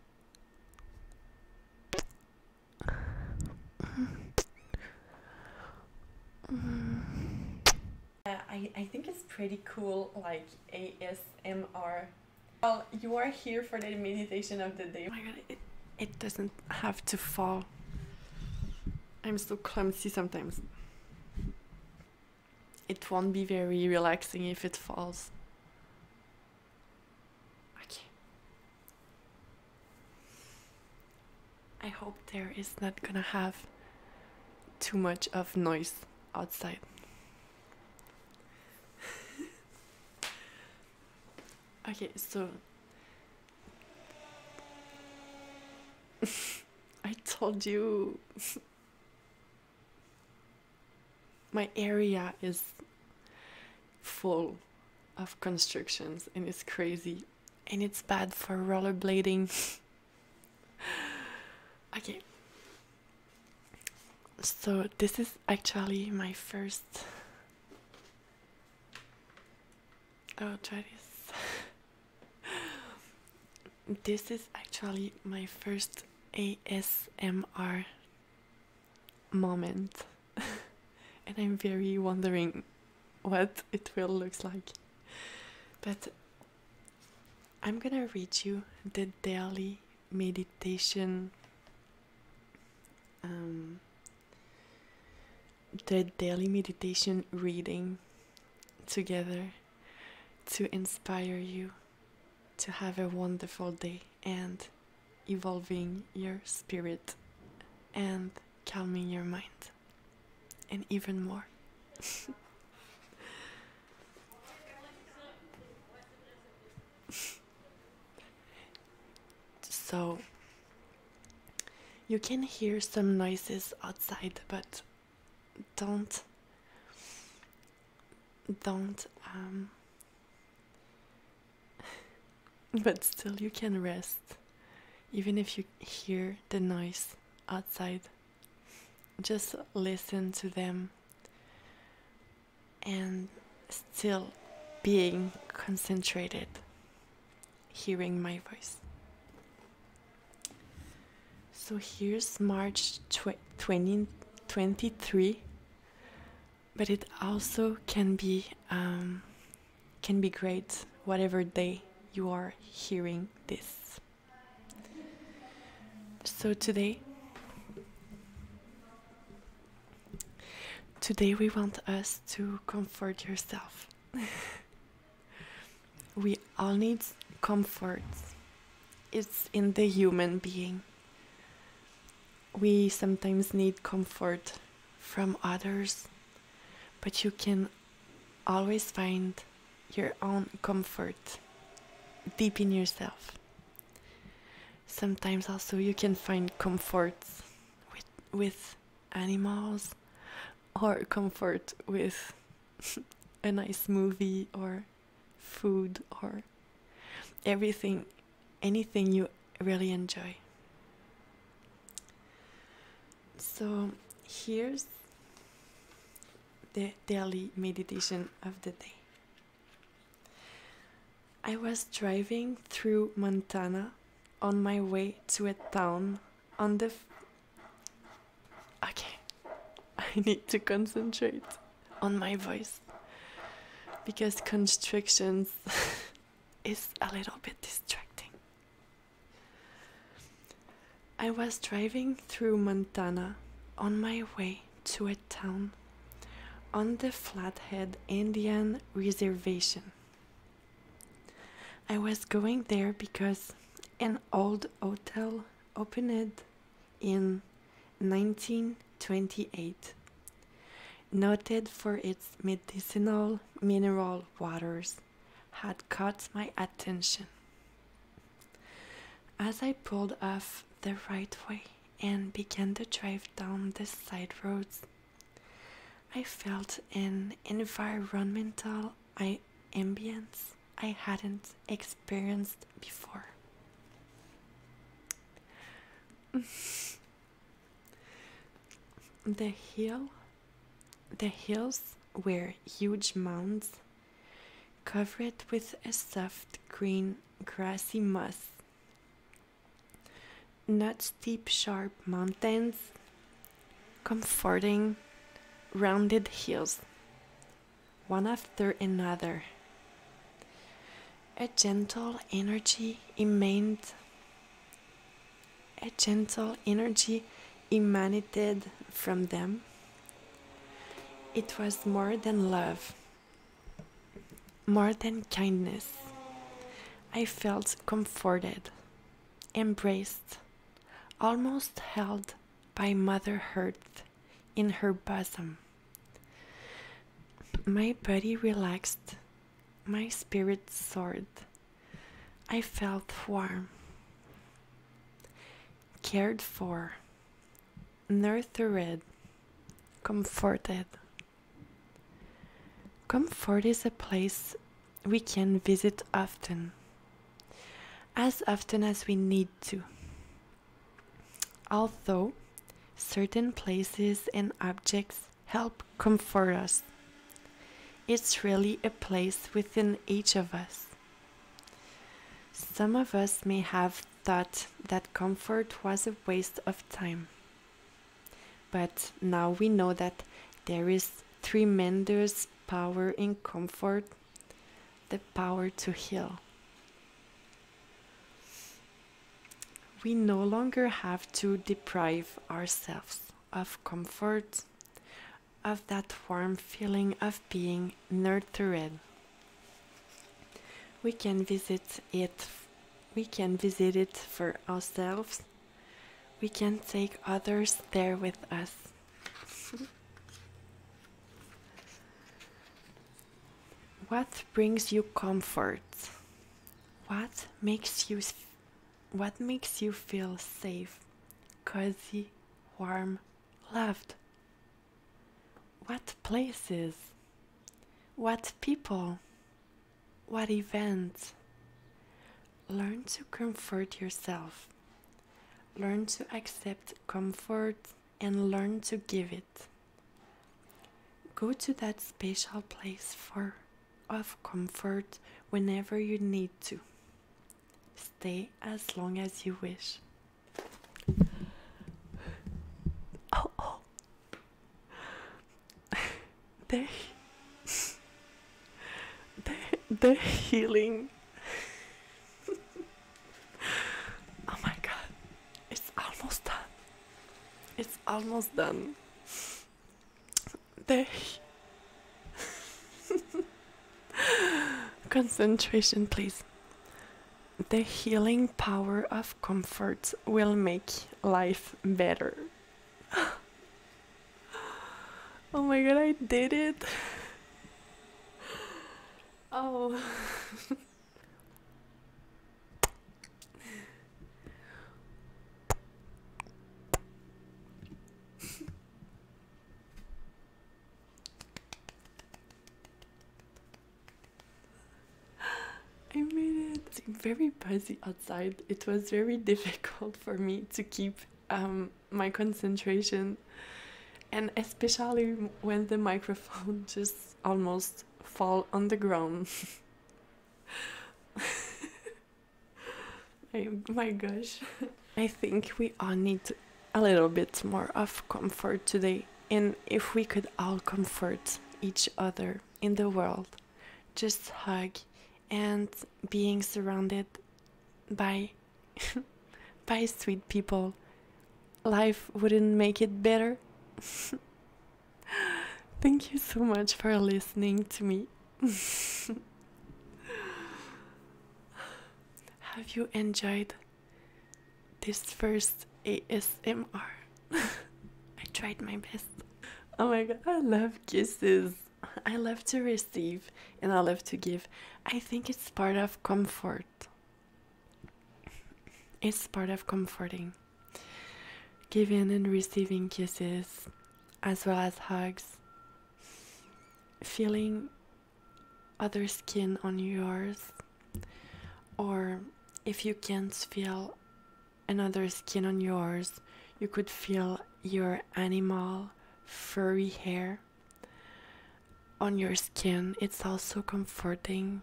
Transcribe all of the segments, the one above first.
I, think it's pretty cool, like ASMR. Well, you are here for the meditation of the day. Oh my god, it, it doesn't have to fall. I'm so clumsy sometimes. It won't be very relaxing if it falls. Okay. I hope there is not gonna have too much of noise outside. okay, so I told you my area is full of constructions and it's crazy and it's bad for rollerblading. okay. So this is actually my first Oh try this. this is actually my first ASMR moment and i'm very wondering what it will looks like but i'm gonna read you the daily meditation um, the daily meditation reading together to inspire you to have a wonderful day and evolving your spirit and calming your mind and even more. so you can hear some noises outside but don't don't um, but still you can rest even if you hear the noise outside just listen to them and still being concentrated hearing my voice so here's March twenty twenty three. but it also can be um, can be great whatever day you are hearing this. So today today we want us to comfort yourself. we all need comfort it's in the human being. We sometimes need comfort from others, but you can always find your own comfort deep in yourself. Sometimes also you can find comfort with, with animals or comfort with a nice movie or food or everything anything you really enjoy so here's the daily meditation of the day i was driving through montana on my way to a town on the Okay, I need to concentrate on my voice because constrictions is a little bit distracting. I was driving through Montana on my way to a town on the Flathead Indian Reservation. I was going there because an old hotel opened in 1928, noted for its medicinal mineral waters, had caught my attention. As I pulled off the right way and began to drive down the side roads, I felt an environmental I ambience I hadn't experienced before. the hill the hills were huge mounds covered with a soft green grassy moss. Not steep, sharp mountains, comforting rounded heels. one after another. A gentle energy emaned a gentle energy emanated from them. It was more than love, more than kindness. I felt comforted, embraced, almost held by Mother Earth in her bosom. My body relaxed, my spirit soared. I felt warm, cared for, nurtured, comforted. Comfort is a place we can visit often, as often as we need to. Although certain places and objects help comfort us, it's really a place within each of us. Some of us may have thought that comfort was a waste of time. But now we know that there is tremendous power in comfort, the power to heal. We no longer have to deprive ourselves of comfort, of that warm feeling of being nurtured. We can visit it we can visit it for ourselves we can take others there with us. what brings you comfort? What makes you what makes you feel safe, cozy, warm, loved? What places? What people? What events? Learn to comfort yourself. Learn to accept comfort and learn to give it. Go to that special place for of comfort whenever you need to. Stay as long as you wish. Oh, oh. The, are they healing. oh my god, it's almost done. It's almost done. they Concentration, please. The healing power of comfort will make life better. Oh my god, I did it! Oh. I made it! very busy it was very difficult for me to keep um, my concentration, and especially when the microphone just almost fall on the ground. my gosh, I think we all need a little bit more of comfort today, and if we could all comfort each other in the world just hug and being surrounded by by sweet people life wouldn't make it better thank you so much for listening to me have you enjoyed this first asmr i tried my best oh my god i love kisses. I love to receive and I love to give. I think it's part of comfort. It's part of comforting. Giving and receiving kisses, as well as hugs. Feeling other skin on yours, or if you can't feel another skin on yours. You could feel your animal furry hair on your skin. It's also comforting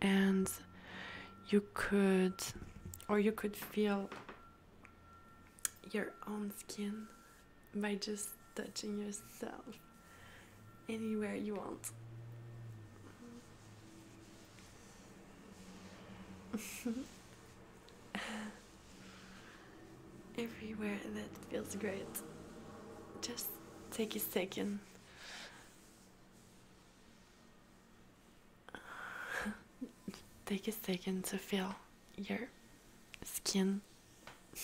and you could or you could feel your own skin by just touching yourself anywhere you want. Everywhere that feels great. Just take a second. take a second to feel your skin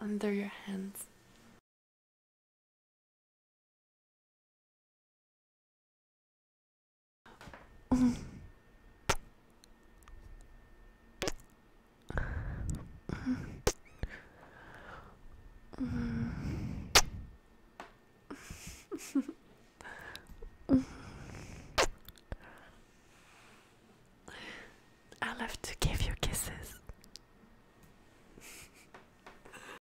under your hands. I love to give you kisses.